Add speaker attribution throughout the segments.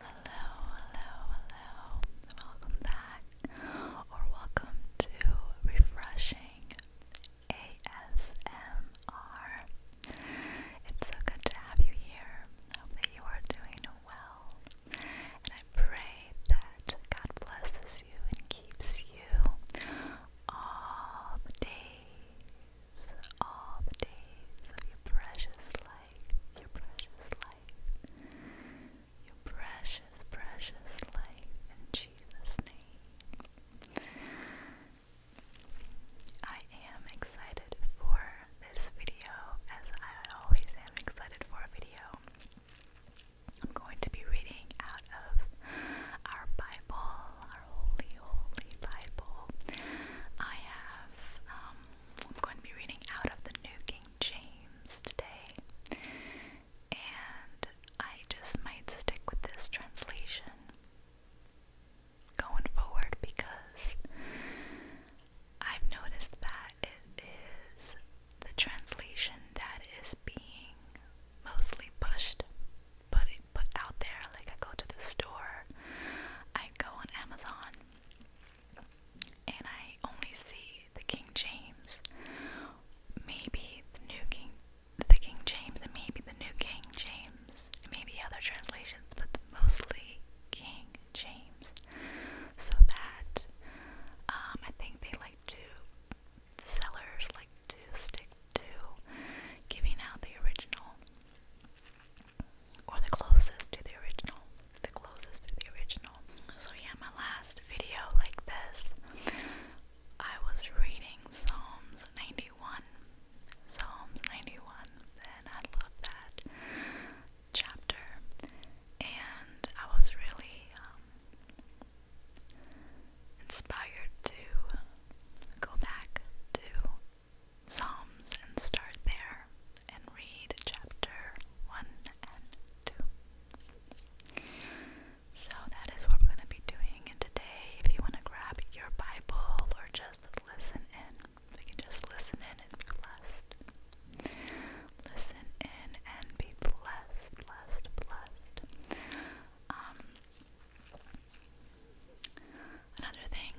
Speaker 1: Hello, hello, hello. Welcome back or welcome to Refreshing ASMR. It's so good to have you here. hope that you are doing well. And I pray that God blesses you and keeps you all the all the days of your precious life, your precious life, your precious, precious life in Jesus' name. I am excited for this video, as I always am excited for a video. I'm going to be reading out of our Bible, our holy, holy Bible. I have, um, I'm going to be reading out of the New King James today, and I just might stick with this translation going forward because I've noticed that it is the translation that is being mostly pushed put it put out there. Like I go to the store, I go on Amazon, and I only see the King James. Maybe New King, the King James, and maybe the New King James, maybe other translations, but mostly King James. So that um, I think they like to sellers like to stick to giving out the original or the closest to the original. The closest to the original. So, yeah, my last video like this, I was reading Psalms 91. Psalms 91, and I love that chapter. And I was really um, inspired to go back to Psalms and start there and read chapter 1 and 2. So that is what we're going to be doing. today, if you want to grab your Bible or just listen in, you can just listen in and be blessed. Listen in and be blessed, blessed, blessed. Um, Another thing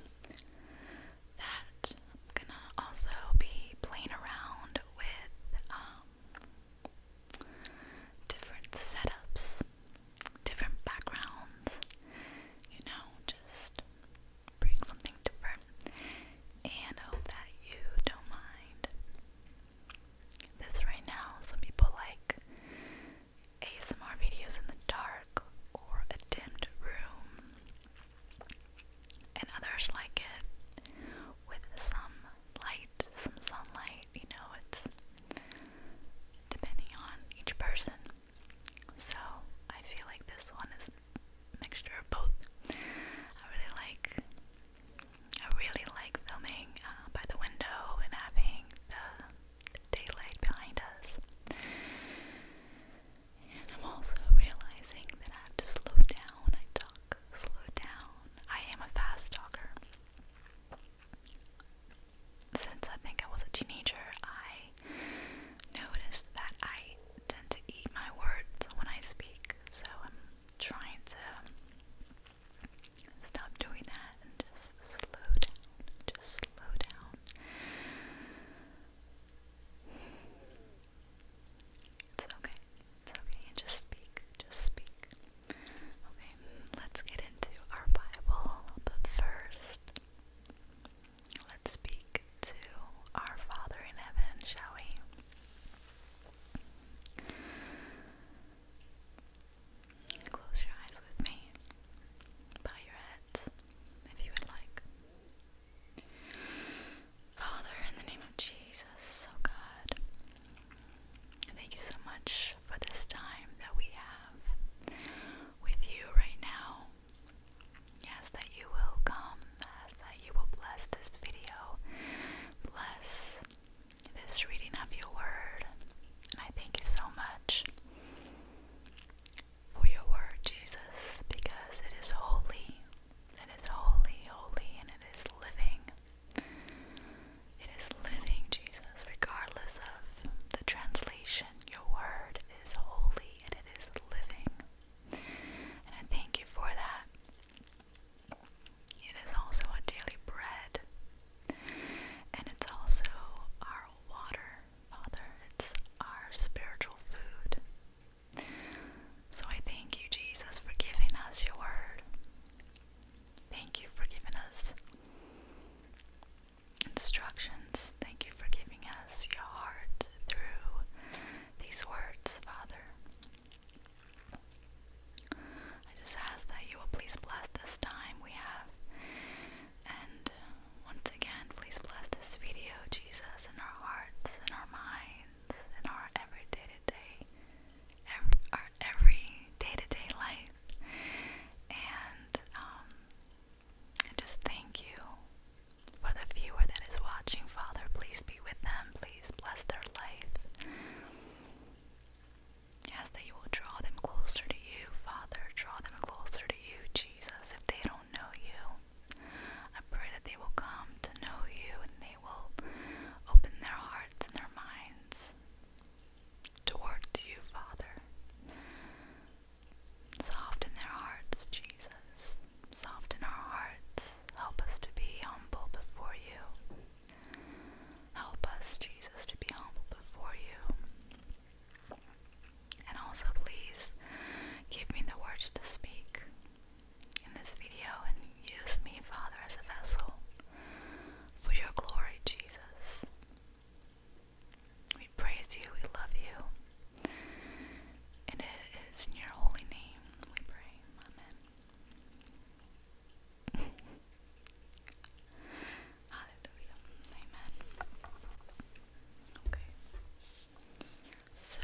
Speaker 1: that I'm gonna also be playing around with um, different setups, different backgrounds, you know, just bring something different and hope that you don't mind this right now. Some people like ASMR videos in the dark or a dimmed room, and others like it with some light, some sunlight. You know, it's depending on each person. So I feel like this one is a mixture of both. I really like I really like filming uh, by the window and having the daylight behind us. I'm also realizing that I have to slow down. I talk slow down. I am a fast talker. Since I think I was a teenager, I noticed that I tend to eat my words when I speak, so I'm trying to Stop doing that and just slow down. Just slow down. It's okay. It's okay. just speak. Just speak. Okay, let's get into our Bible, but first, let's speak to our Father in heaven, shall we? Close your eyes with me. Bow your heads if you would like. Father, in the name of Jesus, oh God, thank you so much for this time that we have with you right now. Yes, that you will come, yes, that you will bless this video, bless this reading of your word. And I thank you so much for your word, Jesus, because it is holy. It is holy, holy, and it is living. It is living, Jesus, regardless of the translation. Your word is holy and it is living. And I thank you for that. It is also our daily bread. And it's also our water, Father. It's our spiritual food. So I thank you, Jesus, for giving us your word. Thank you for giving us instructions. Thank you for giving us your heart through these words, Father. I just ask that you will please bless this time we have. And uh, once again, please bless this video, Jesus, in our hearts, in our minds, in our every day to day, our every day to day life. And um, just thank you for the viewer that is watching. Father, please be with them. Please bless their life. Yes, that you will draw them closer to you, Father. Draw them closer to you, Jesus, if they don't know you. I pray that they will come to know you and they will open their hearts and their minds towards you, Father. Soften their hearts, Jesus. Soften our hearts. Help us to be humble before you. Help us, Jesus, to be humble before you. And also, please give me the words to speak in this video and use me, Father, as a vessel for your glory, Jesus. We praise you, we love you, and it is in your holy name we pray. Amen. Hallelujah. Amen. Okay. So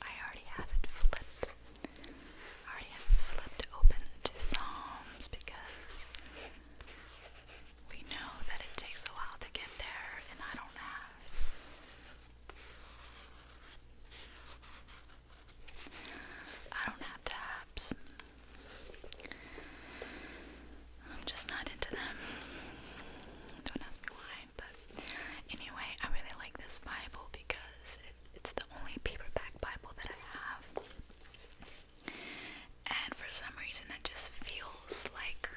Speaker 1: I already have it flipped. I already have it flipped open to Psalms because we know that it takes a while to get there and I don't have I don't have tabs. I'm just not into them. Don't ask me why, but anyway, I really like this Bible because it's the only paperback Bible that I have. And for some reason, it just feels like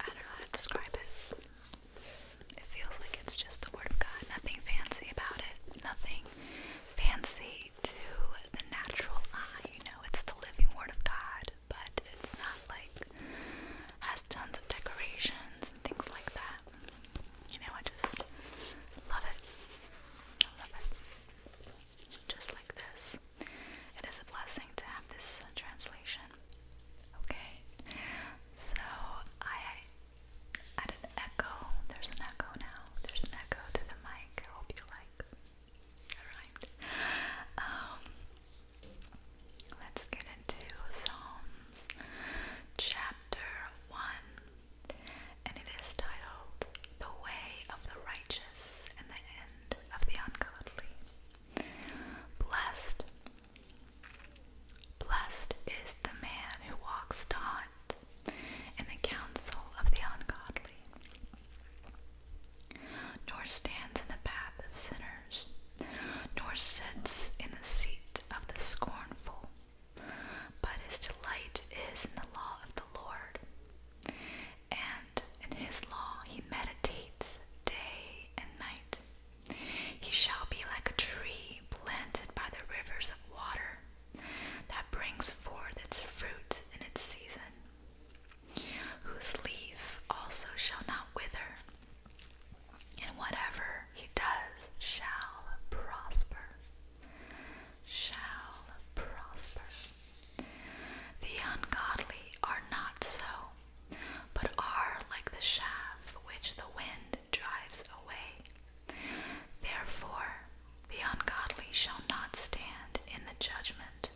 Speaker 1: I don't know how to describe it. It feels like it's just the Word of God. Nothing fancy about it. Nothing fancy to the natural eye. You know, it's the living Word of God, but it's not like has tons of decorations and things like that. You know, I just love it. love it. Just like this it is a blessing to have this uh, translation. Okay, so I had echo. There's an echo now. There's an echo to the mic. I hope you like. Alright. Um, let's get into Psalms chapter 1. And it is titled The Way of the Righteous and the End of the Ungodly. Blessed, blessed is the man who walks not in the counsel of the ungodly, nor stands in the path of sinners, nor sits in the seat of the scornful, but his delight is in the law of the Lord and in his law he meditates day and night. He shall be like a tree planted by the rivers of water that brings forth its fruit in its season, whose leaf also shall not wither, and whatever he does shall prosper. Shall prosper. The ungodly are not so, but are like the shaft which the wind drives away. Therefore, the ungodly shall not stand in the judgment.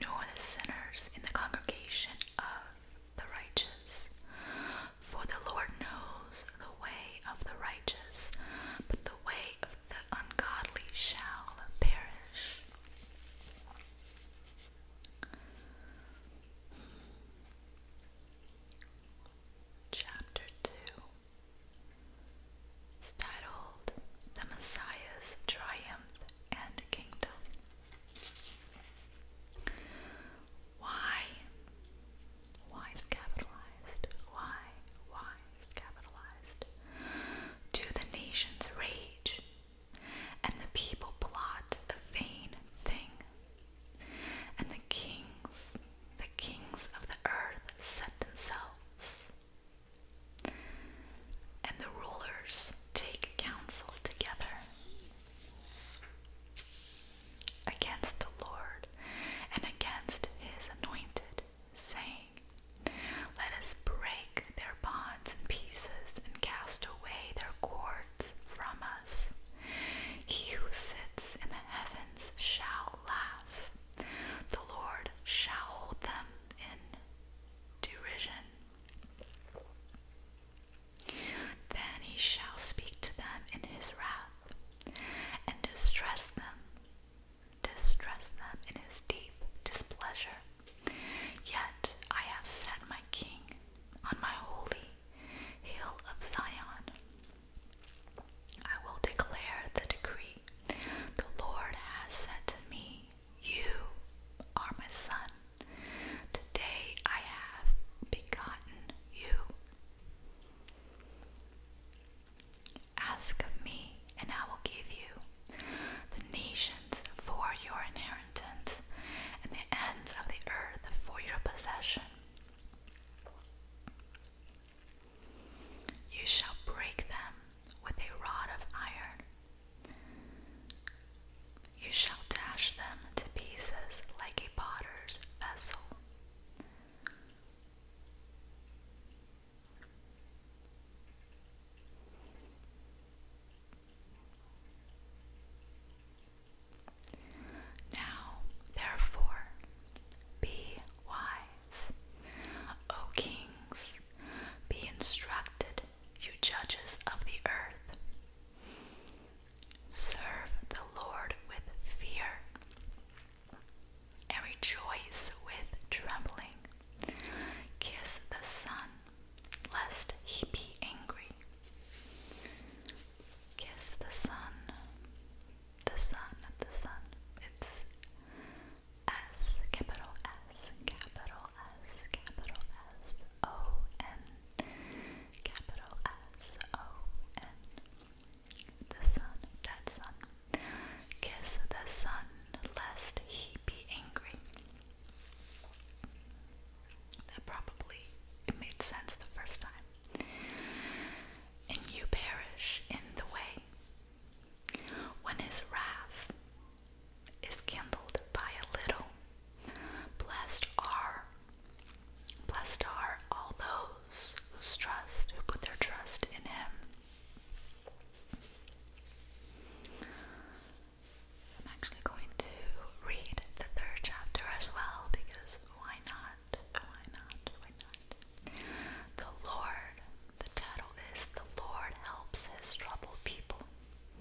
Speaker 1: Nor the sinners in the congregation of the righteous. For the Lord knows the way of the righteous, but the way of the ungodly shall perish. Chapter 2 titled The Messiah's Triumph and Kingdom. Why why is capitalized. Why, why is capitalized. Do the nations rage, and the people plot a vain thing, and the kings, the kings of the earth set themselves, and the rulers take counsel together against the Lord and against his anointed, saying, Let us break their bonds in pieces and cast away their cords from us. He who sits in the heavens shall laugh. The Lord shall hold them in derision. Then he shall speak to them in his wrath and distress them, distress them in his deep displeasure. Yet I have set my king on my holy hill of Zion. I will declare the decree. The Lord has said to me, You are my son. Today I have begotten you. Ask of me, and I will give you the nations for your inheritance, and the ends of the earth for your possession. You shall break them with a rod of iron. You shall dash them to pieces like a potter's vessel. Now, therefore, be wise, O kings, be instructed, you judges of the earth. Serve the Lord with fear and rejoice with trembling. Kiss the sun, lest he be angry. Kiss the sun. the Son, the Son. It's S, capital S, capital S, capital S, O N, capital S, O N the sun, that sun. Kiss the sun, lest he be angry. That probably it made sense the first time. And you perish in the way. When his wrath is kindled by a little, blessed are Blessed are all those whose trust, who put their trust in him. I'm actually going to read the third chapter as well because why not? Why not? Why not? The Lord, the title is The Lord Helps His Troubled People.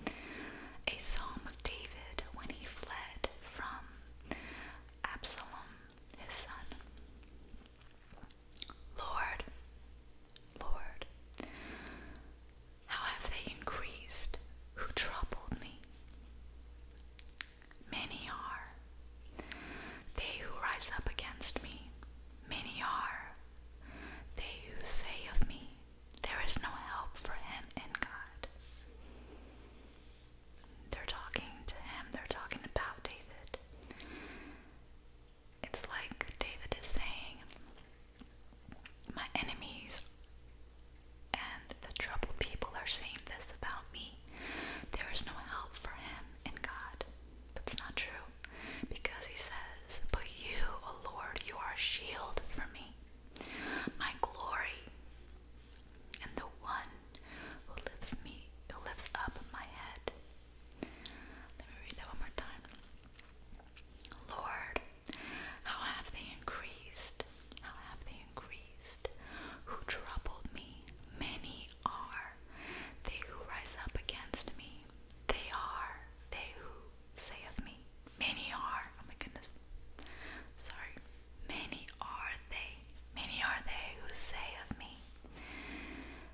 Speaker 1: A psalm of David when he fled from Absalom his son. Lord, Lord, how have they increased who troubled me? Many are they who rise up against me, many are they who say of me, There is no help for him in God. They're talking to him, they're talking about David. It's like David is saying, My enemies and the troubled people are saying this about me. There is no help for him in God. That's not true. Because he says, But you, O Lord, you are a shield for me. My glory and the one who lifts me who lifts up my head. Let me read that one more time. Lord, how have they increased? How have they increased? Who troubled me? Many are they who rise up against me. They are they who say of me. Many are, oh my goodness, sorry, many are they many are they who say of me,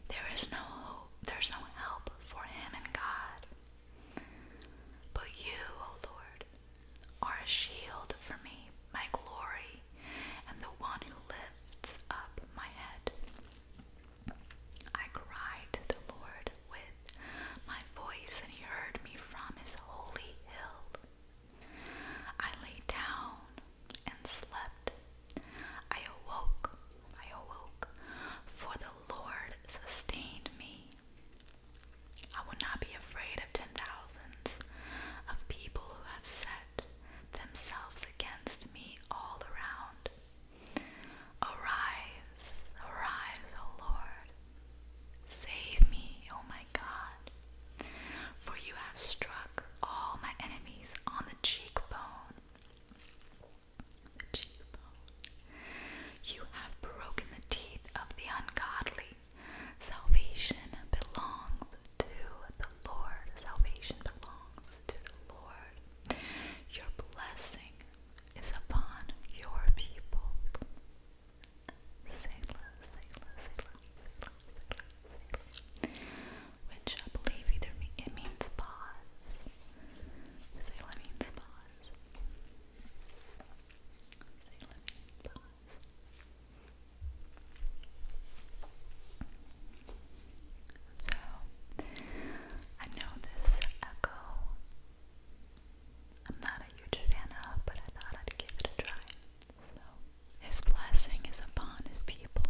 Speaker 1: There is no hope, there's no help for him in God. But you, O Lord, are a shield for me, my glory, and the one who lifts up my head. I cried to the Lord with my voice, and he heard me from his holy hill. I lay down and slept. I awoke, I awoke, for the Lord sustained me. I will not be afraid of ten thousands of people who have set themselves against me all around. Arise, arise, O Lord, Save me, oh my God, for you have struck all my enemies on The cheekbone. You have broken the teeth of the ungodly. Salvation belongs to the Lord. Salvation belongs to the Lord. Your blessing is upon your people. Sailor, Sailor, Sailor, Sailor, Sailor, Sailor, which I believe either it means pause. Sailor means pause. So I know this echo I'm not a huge fan of, but I thought I'd give it a try. So, His blessing is upon His people.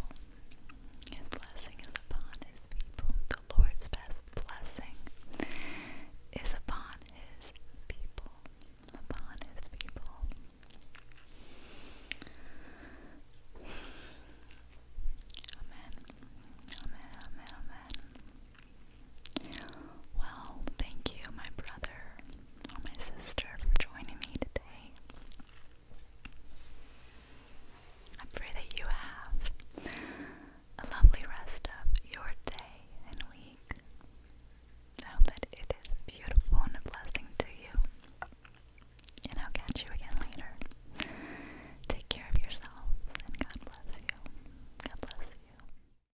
Speaker 1: His blessing is upon His people. The Lord's best blessing is upon His people. Upon His people. Amen. Amen. Amen. Amen. Well, thank you, my brother my sister, for joining me today. I pray that you have a lovely rest of your day and week. I hope that it is beautiful and a blessing to you. And I'll catch you again later. Take care of yourselves and God bless you. God bless you.